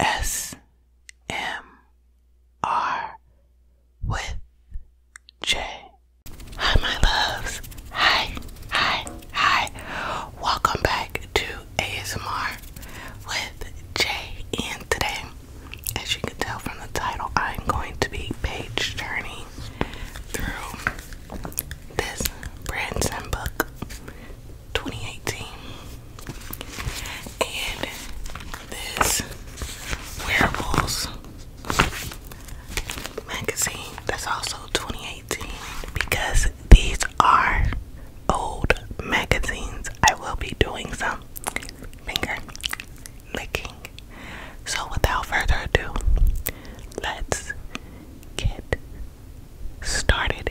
S M R with Jay. Hi, my loves. Hi, hi, hi. Welcome back to ASMR with Jay. And today, as you can tell from the title, I'm going to be page turning through this Branson book. 2018. And this wearables magazine that's also 2018 because these are old magazines. I will be doing some finger licking. So without further ado, let's get started.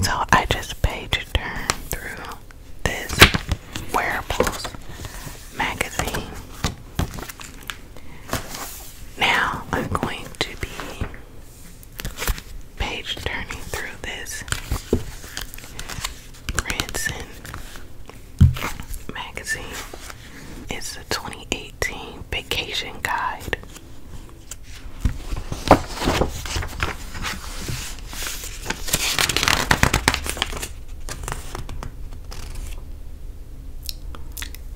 So I just page turn through this wearables magazine now I'm going to be page turning through this Branson magazine. It's the 2018 Vacation Guide.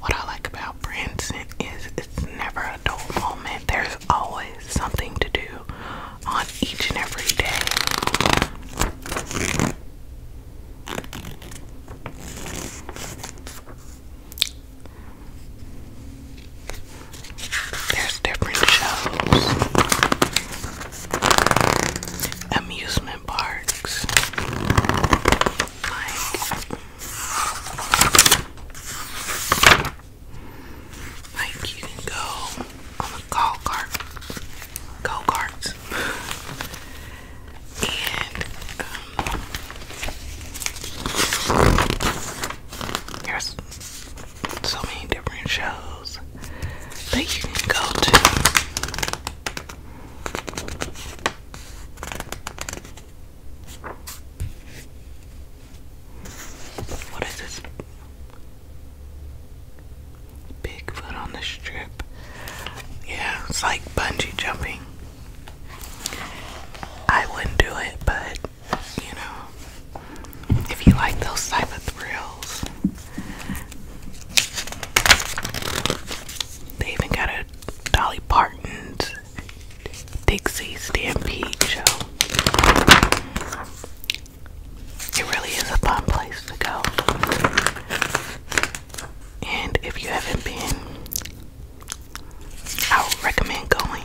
What I like about Branson is it's never a dull moment. There's always something to do on each and every day. There's different shows amusement parks. Like, you can go on a go kart, go karts, and um, there's so many different shows videos that you can go to. What is this? Bigfoot on the strip. Yeah, it's like bungee jumping. I wouldn't do it, but you know, if you like those type of thrills, they even got a Dolly Parton's Dixie Stampede show. It really is a fun place to go. And if you haven't been, I would recommend going.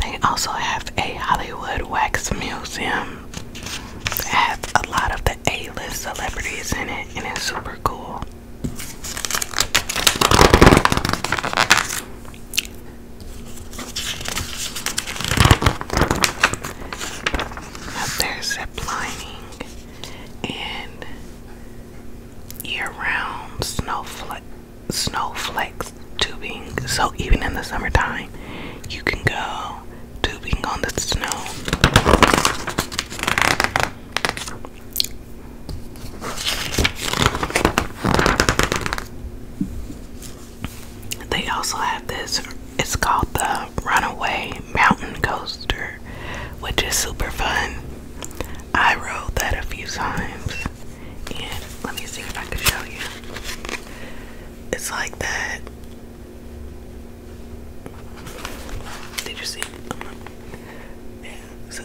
They also have a Hollywood Wax Museum that has a lot of the A-list celebrities in it, and it's super cool. Up there, zip lining and year-round snowflake snowflakes tubing. So even in the summertime, you can go tubing on the snow. They also have this, it's called the Runaway Mountain Coaster, which is super fun. I rode that a few times, and let me see if I can show you. It's like that, did you see? Yeah, so.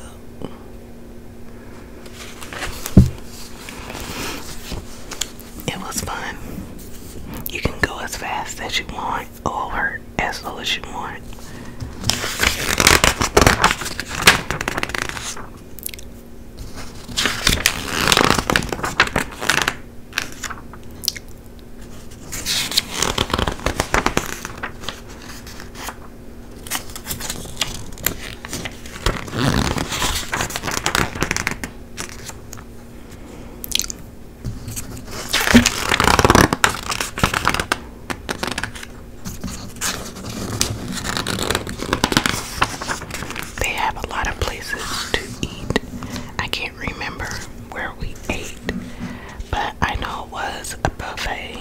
It was fun. You can go as fast as you want or as slow as you want. They have a lot of places to eat. I can't remember where we ate, but I know it was a buffet.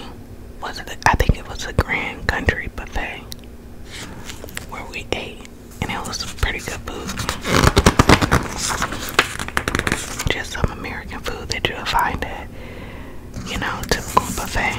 Was it? A, I think it was a Grand Country buffet where we ate, and it was pretty good food. Just some American food that you'll find at, you know, typical buffet.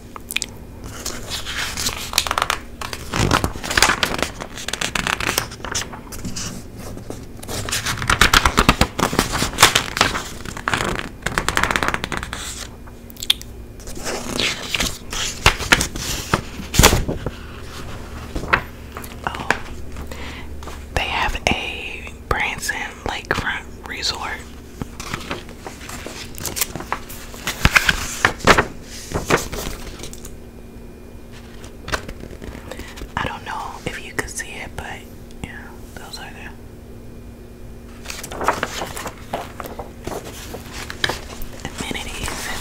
Oh, they have a Branson Lakefront Resort I don't know if you could see it, but yeah, those are there. Amenities that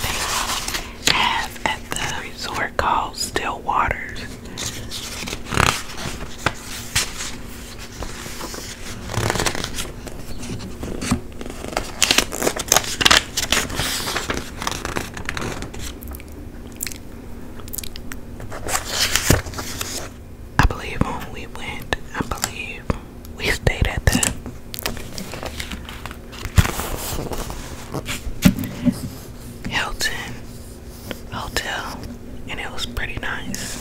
they have at the resort called Still Waters. I believe when we went, I believe we stayed at the Hilton Hotel, and it was pretty nice.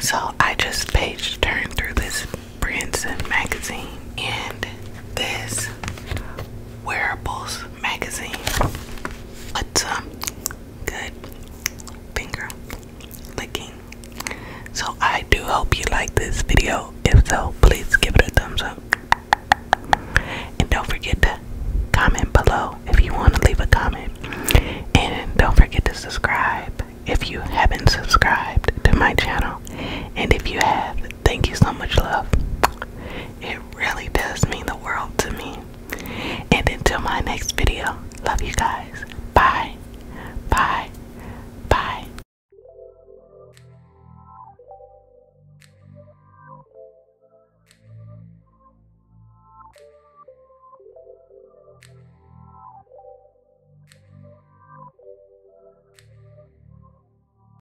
So I just page turned through this Branson magazine and this Wearables magazine. What's um good finger licking? So I do hope you like this video. If so, please give it a thumbs up. And don't forget to comment below if you want to leave a comment. And don't forget to subscribe if you haven't subscribed to my channel. And if you have, Thank you so much, love. It really does mean the world to me. And until my next video, love you guys. Bye. Bye. Bye.